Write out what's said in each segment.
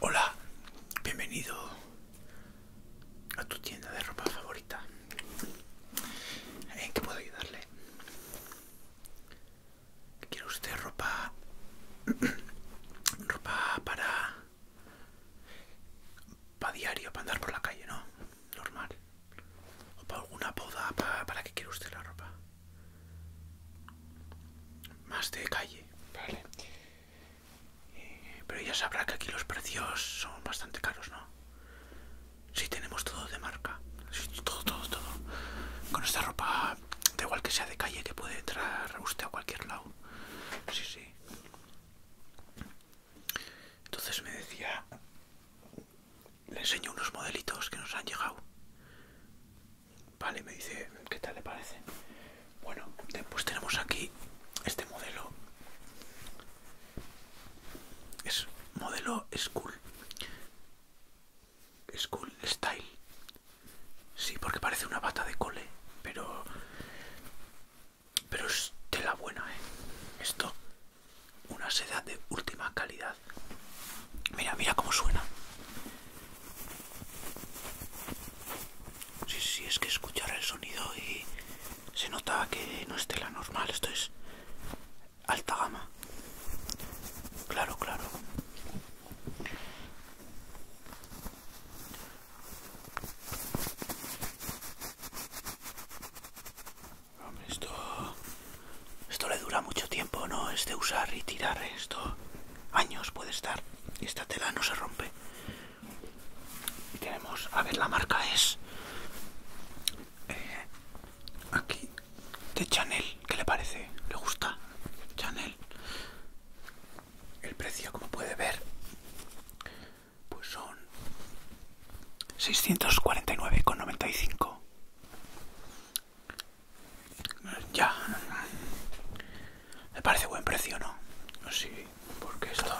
Hola, bienvenido a tu tienda de ropa favorita. ¿En qué puedo ayudarle? ¿Quiere usted ropa? ropa para... para diario, para andar por la calle, ¿no? Normal o para alguna poda? para, para que quiere usted la ropa. Más de calle, vale. Eh, pero ya sabrá que aquí los precios son bastante caros, ¿no? Sí, tenemos todo de marca. todo, todo, todo. Con esta ropa, da igual que sea de calle, que puede entrar usted a cualquier lado. Sí, sí. Entonces me decía le enseño unos modelitos que nos han llegado. Vale, me dice, ¿qué tal le parece? Bueno, pues tenemos aquí este modelo. Es modelo School. School Style. Sí, porque parece una bata de cole, pero... Pero es la buena, ¿eh? Esto una seda de última calidad. Mira, mira cómo suena. Sí, sí, es que escuchar el sonido y se notaba que no es tela normal, esto es alta gama. Claro, claro. Esto, esto le dura mucho tiempo, ¿no? Es de usar y tirar ¿eh? esto. Años puede estar. Esta tela no se rompe. Y tenemos, a ver, la marca es... Eh, aquí, de Chanel. que le parece? ¿Le gusta? Chanel. El precio, como puede ver, pues son 649,95. Ya. Me parece buen precio, ¿no? Sí, porque esto...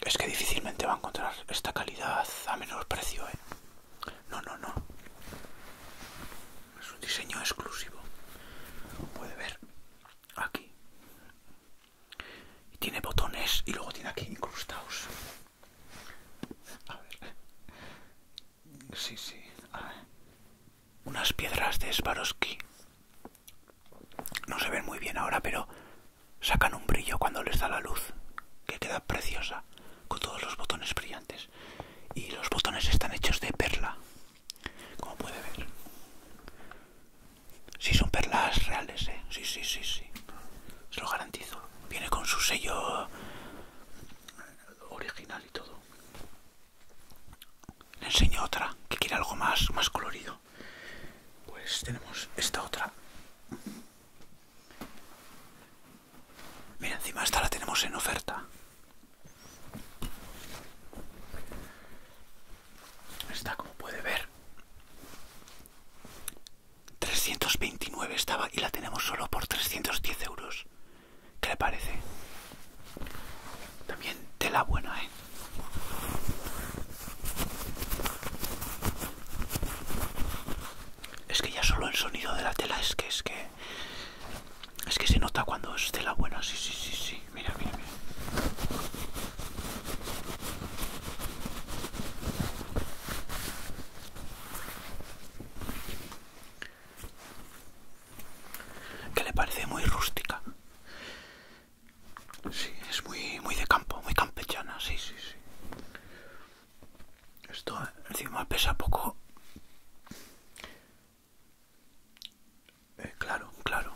Es que difícilmente va a encontrar esta calidad a menor precio, ¿eh? No, no, no. Es un diseño exclusivo. Puede ver aquí. Y tiene botones y luego tiene aquí incrustados. Sí, sí. Unas piedras de Swarovski. No se ven muy bien ahora, pero sacan un brillo cuando les da la luz, que queda preciosa, con todos los botones brillantes. Y los botones están hechos de perla, como puede ver. Sí, son perlas reales, ¿eh? Sí, sí, sí, sí se lo garantizo. Viene con su sello original y todo. Le enseño otra que quiere algo más, más colorido. Pues tenemos esta otra. Mira, encima esta la tenemos en oferta. Esta, como puede ver, 329 estaba y la tenemos solo por 310 euros. ¿Qué le parece? También tela buena, ¿eh? Es que ya solo el sonido de la tela es que es que es que se nota cuando es tela buena, sí, sí, sí, sí. Mira, mira, mira que le parece muy rústica. Sí, es muy, muy de campo, muy campechana, sí, sí, sí. Esto encima pesa poco. Eh, claro, claro.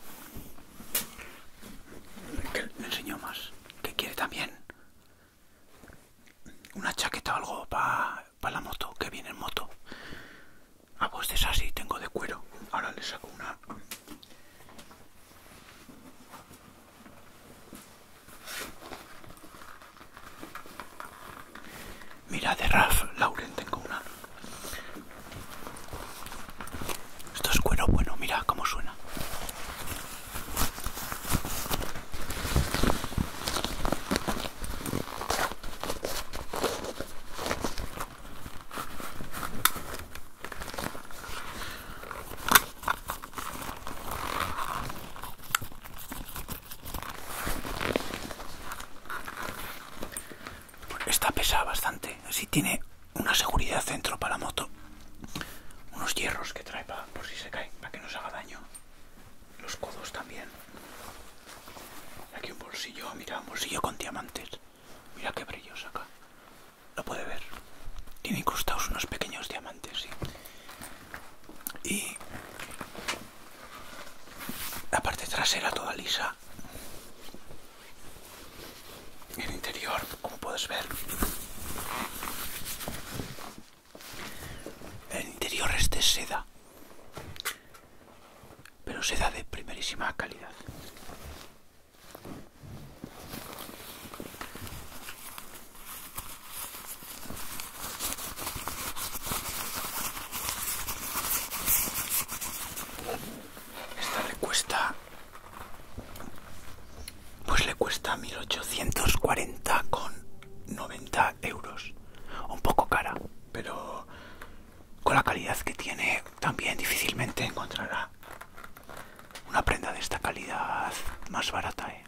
Que le más. ¿Qué quiere también? una chaqueta o algo para la moto, que viene en moto. a ah, vos pues es así, tengo de cuero. Ahora le saco una. Mira, de Raf Lauren tengo una. Esto es cuero bueno, mira cómo suena. Esta pesa bastante, así tiene una seguridad centro para la moto unos hierros que trae para, por si se cae, para que no se haga daño. Los codos también. aquí un bolsillo, mira, un bolsillo con diamantes. Mira qué brillo acá. Lo puede ver. Tiene incrustados unos pequeños diamantes, sí. Y la parte trasera toda lisa. El interior, como puedes ver, el interior es de seda, pero seda de primerísima calidad. Esta recuesta pues le cuesta 1840 con 90 euros un poco cara pero con la calidad que tiene también difícilmente encontrará una prenda de esta calidad más barata ¿eh?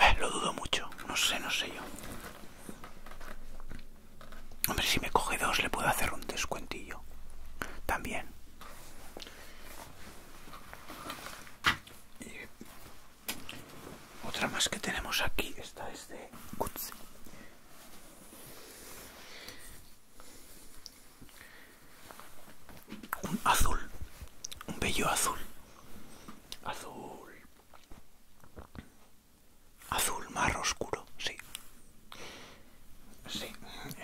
Eh, lo dudo mucho no sé no sé yo hombre si me coge dos le puedo hacer un descuentillo también y otra más que tenemos aquí, esta es de Un azul, un bello azul, azul, azul mar oscuro, sí, sí,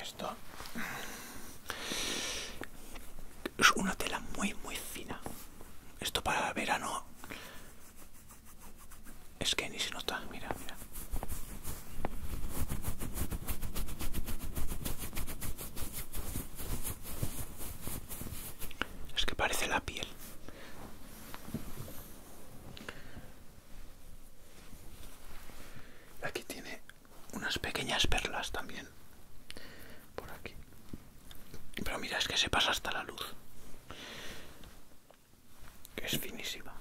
esto. Es una tela muy, muy fina. Esto para verano es que ni se nota. Mira, mira. Es que parece la piel. Aquí tiene unas pequeñas perlas también por aquí pero mira es que se pasa hasta la luz que es finísima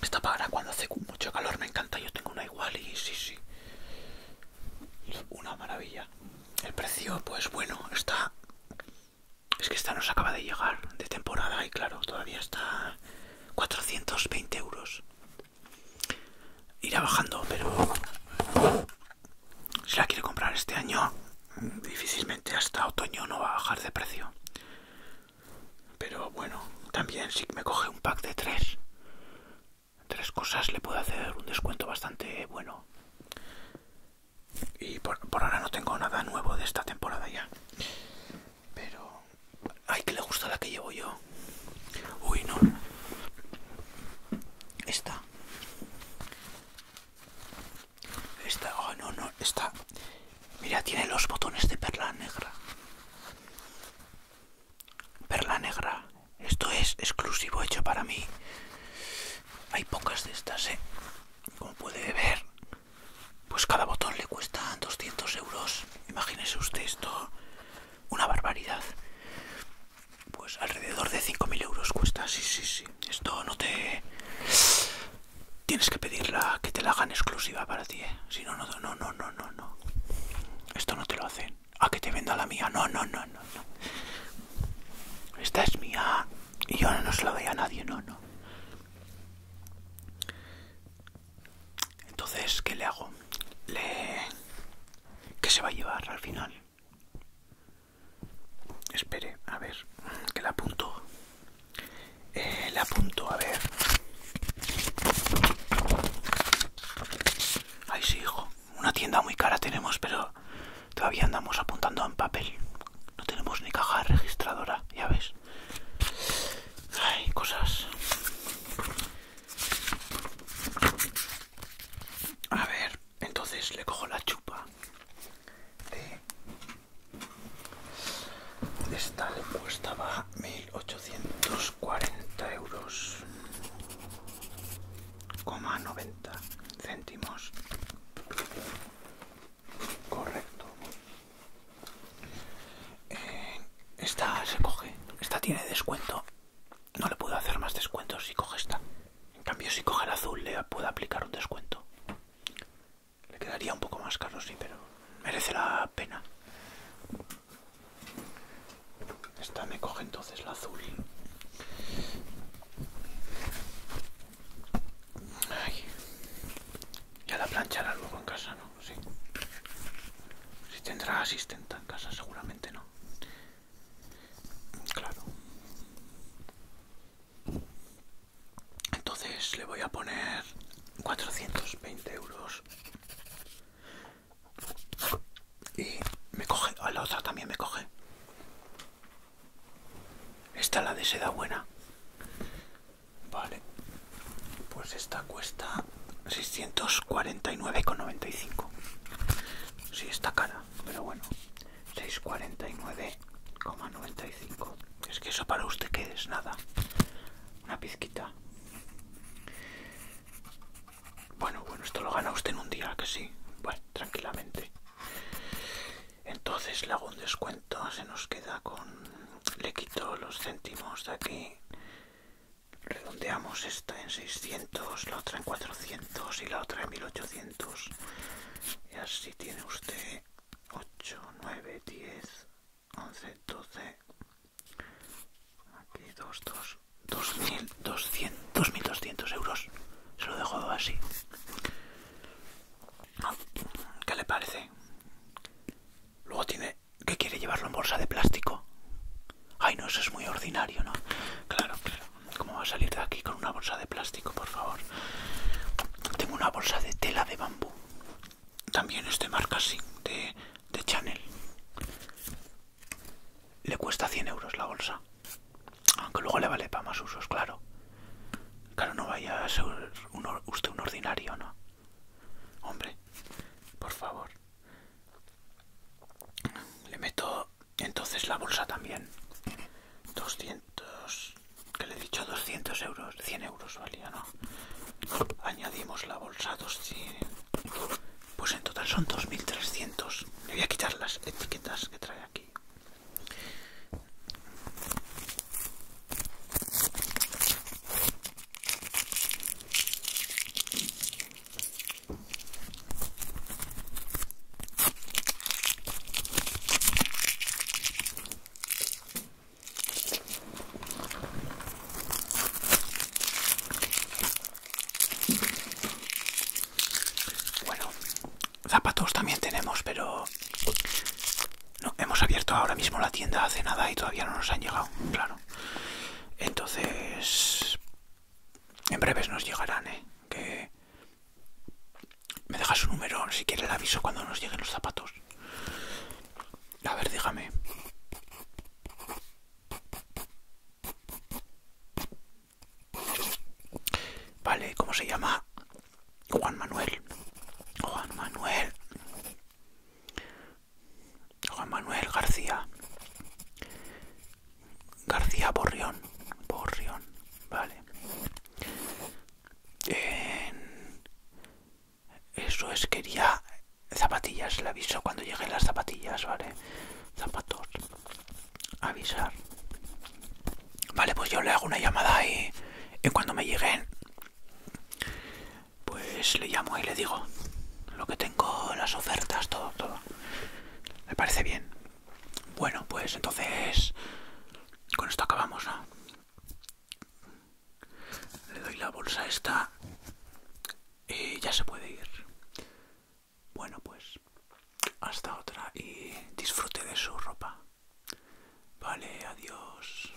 esta para cuando hace mucho calor me encanta yo tengo una igual y sí sí una maravilla el precio pues bueno está es que esta nos acaba de llegar de temporada y claro todavía está 420 euros irá bajando, pero si la quiere comprar este año, difícilmente hasta otoño no va a bajar de precio. Pero bueno, también si me coge un pack de tres, tres cosas le puedo hacer un descuento bastante bueno. Y por, por ahora no tengo nada nuevo de esta temporada ya. Pero Ay, que le gusta la que llevo yo. Uy, no. Esta. Esta, oh no, no, esta. Mira, tiene los botones de perla negra. Perla negra. Esto es exclusivo hecho para mí. Hay pocas de estas, ¿eh? Como puede ver, pues cada botón le cuesta 200 euros. Imagínese usted esto una barbaridad. Pues alrededor de 5.000 euros cuesta, sí, sí, sí. Esto no te... Tienes que pedirla, que te la hagan exclusiva para ti, ¿eh? Si no, no, no, no, no, no, no. Esto no te lo hacen. A que te venda la mía. No, no, no, no, no. Esta es mía y yo no se la doy a nadie, no, no. Entonces, ¿qué le hago? Le... ¿Qué se va a llevar al final? Espere, a ver, que la apunto. Le eh, la apunto, a ver. Ay, sí, hijo. Una tienda muy cara tenemos, pero todavía andamos apuntando en papel. No tenemos ni caja registradora, ya ves. Ay, cosas. A ver, entonces le cojo la chupa de esta le costaba 1840 euros, coma 90 céntimos. Correcto. Eh, esta se coge, esta tiene descuento no le puedo hacer más descuentos si coge esta. En cambio, si coge el azul, le puedo aplicar un descuento. Le quedaría un poco más caro, sí, pero merece la pena. Esta me coge entonces la azul. Ay. Ya la planchará luego en casa, si tendrá asistenta en casa, seguramente no. Claro. Entonces le voy a poner 420 euros. Y me coge, a la otra también me coge. Esta la de seda buena. Vale. Pues esta cuesta 649,95 Sí, está cara, pero bueno 649,95 Es que eso para usted que es nada Una pizquita Bueno, bueno, esto lo gana usted en un día, que sí Bueno, tranquilamente Entonces le hago un descuento Se nos queda con... Le quito los céntimos de aquí redondeamos esta en 600, la otra en 400 y la otra en 1800. Y así tiene usted 8, 9, 10, 11, 12. Aquí 2, 2. 2.200, 2.200 euros. Se lo dejo así. Ah, ¿Qué le parece? Luego tiene ¿Qué quiere llevarlo en bolsa de plástico. Ay, no, eso es muy ordinario, ¿no? Claro, claro. ¿Cómo va a salir de aquí con una bolsa de plástico, por favor? Tengo una bolsa de tela de bambú. También este marca, sí, de, de Chanel. Le cuesta 100 euros la bolsa. Aunque luego le vale para más usos, claro. Claro, no vaya a ser usted un ordinario, ¿no? Hombre, por favor. Le meto entonces la bolsa también. 200... que le he dicho 200 euros. 100 euros valía, ¿no? Añadimos la bolsa 200... Pues en total son 2.300. Le voy a quitar las etiquetas que trae aquí. Bueno, zapatos también tenemos, pero no, hemos abierto ahora mismo la tienda hace nada y todavía no nos han llegado, claro. Entonces, en breves nos llegarán, ¿eh? Que me deja su número, si quiere el aviso cuando nos lleguen los zapatos. A ver, dígame. Vale, ¿cómo se llama? Juan Manuel. Juan Manuel. Juan Manuel García. García Borrión. Borrión, vale. Eso es, quería zapatillas. Le aviso cuando lleguen las zapatillas, vale. Zapatos. Avisar. Vale, pues yo le hago una llamada ahí en cuando me lleguen pues le llamo y le digo lo que tengo, las ofertas, todo, todo. me parece bien? Bueno, pues entonces con esto acabamos, Le doy la bolsa esta y ya se puede ir. Bueno, pues hasta otra y disfrute de su ropa. Vale, adiós.